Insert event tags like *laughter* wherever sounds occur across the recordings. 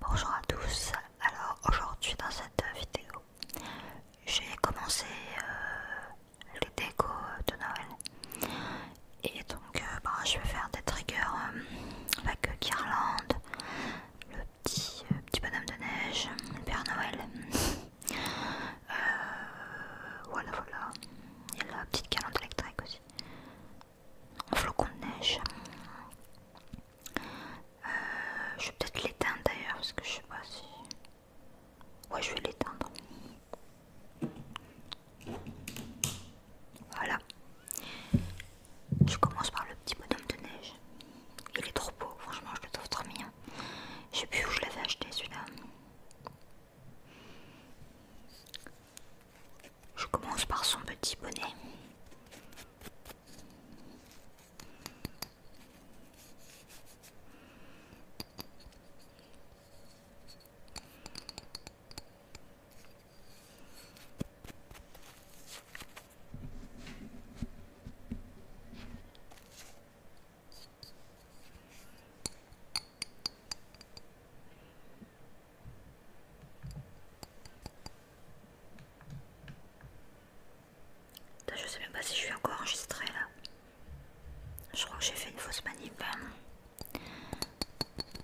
Bonjour à tous, alors aujourd'hui dans cette vidéo j'ai commencé euh, les décos de Noël et donc euh, bah, je vais faire des triggers euh, avec guirlande, le petit, petit bonhomme de neige, le Père Noël, *laughs* voilà voilà, et la petite guirlande électrique aussi flocon de neige. Euh, je vais peut-être l'éteindre d'ailleurs parce que je sais pas si. Ouais, je vais l'éteindre. Voilà. Je commence par le petit bonhomme de neige. Il est trop beau, franchement, je le trouve trop mignon. Je sais plus où je l'avais acheté celui-là. Je commence par son petit bonnet je sais même pas si je suis encore enregistrée là. Je crois que j'ai fait une fausse manip. Hein.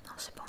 Non, c'est bon.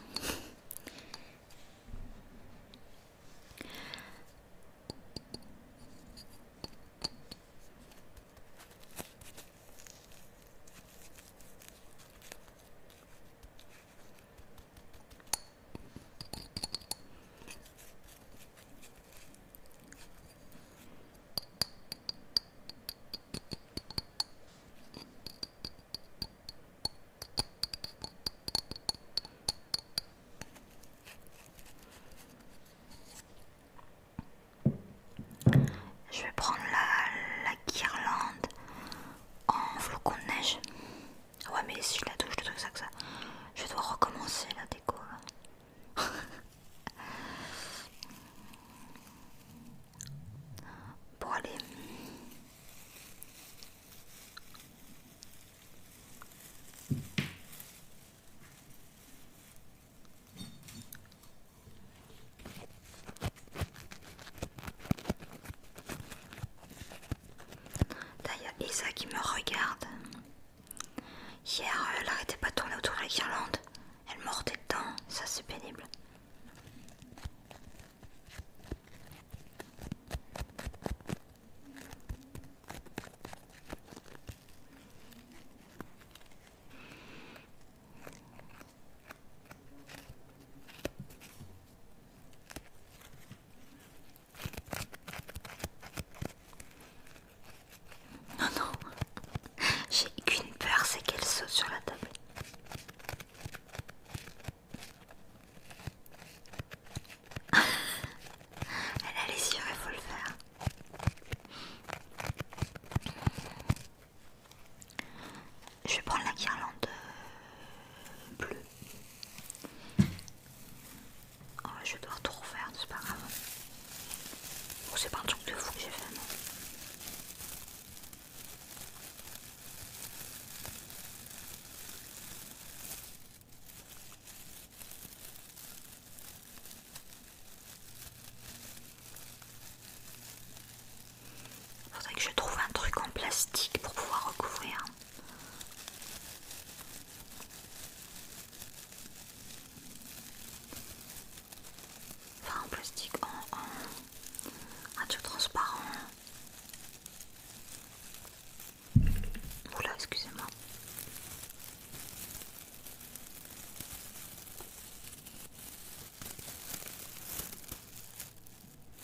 Je vais prendre la, guirlande en flocon de neige. Ouais, mais si je la touche, de truc, ça que ça. Je dois recommencer la déco. bon, allez. Là, il y a Isa qui me regarde. Hier, euh, elle n'arrêtait pas de tourner autour de la guirlande. Elle mordait dedans. Ça, c'est pénible. Non, non, j'ai qu'une peur, c'est qu'elle saute sur la table. *laughs* Elle a les yeux, il faut le faire je vais prendre la guirlande euh, bleue. Oh, je dois tout refaire, c'est pas grave. Bon, c'est pas un truc de fou que j'ai fait, non. Faudrait que je trouve un truc en plastique pour pouvoir recouvrir. Enfin en plastique, en, en, un truc transparent. Oula, excusez-moi.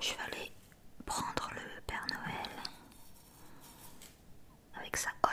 Je vais aller prendre le Père Noël avec sa hotte.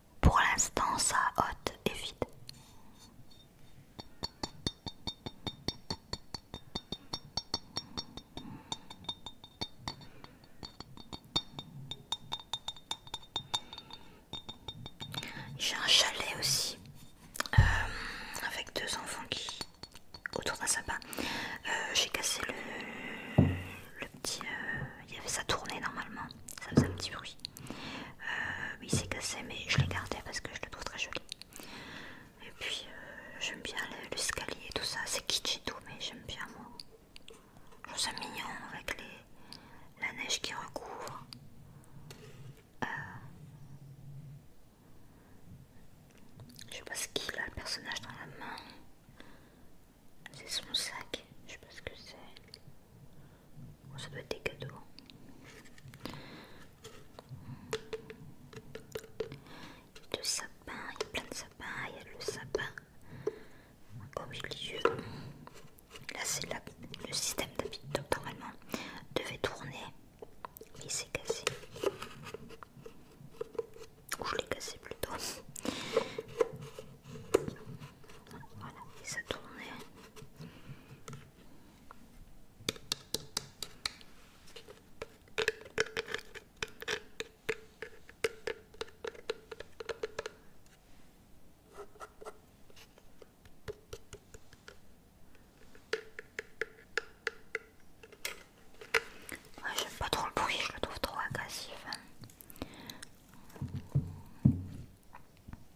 Pour l'instant, ça haute et vide. J'ai un chalet aussi euh, avec deux enfants qui autour d'un sapin. Euh, j'ai cassé le, petit. Euh, il y avait ça tournée normalement. Ça faisait un petit bruit. Euh, Il s'est c'est cassé, mais je l'ai gardé parce que je le trouve très joli. Et puis, euh, j'aime bien l'escalier et tout ça. C'est kitsch tout, mais j'aime bien moi. Je trouve ça mignon avec la neige qui recouvre. Euh, je sais pas ce qu'il a le personnage dans la main. C'est son sac. Je sais pas ce que c'est. Ça doit être des cadeaux. Il y a de sapins, il y a plein de sapins, il y a le sapin au oh, milieu. Là c'est le système d'habitat normalement devait tourner. Mais il s'est cassé. Ou je l'ai cassé plutôt. Voilà, il s'est tourné. Ouais, J'aime pas trop le bruit, je le trouve trop agressif. Hein.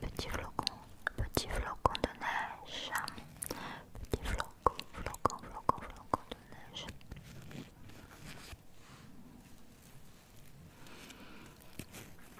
Petit flocon, petit flocon de neige, petit flocon, flocon, flocon, flocon de neige.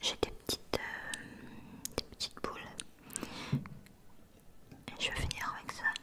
J'ai des petites, euh, petites boules. Et je vais finir avec ça.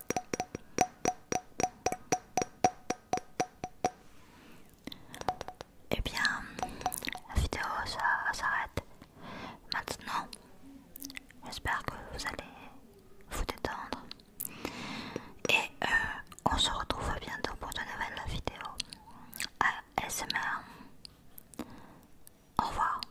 Eh bien, la vidéo ça s'arrête maintenant. J'espère que vous allez vous détendre. Et euh, on se retrouve bientôt pour de nouvelles vidéos. À ASMR. Au revoir.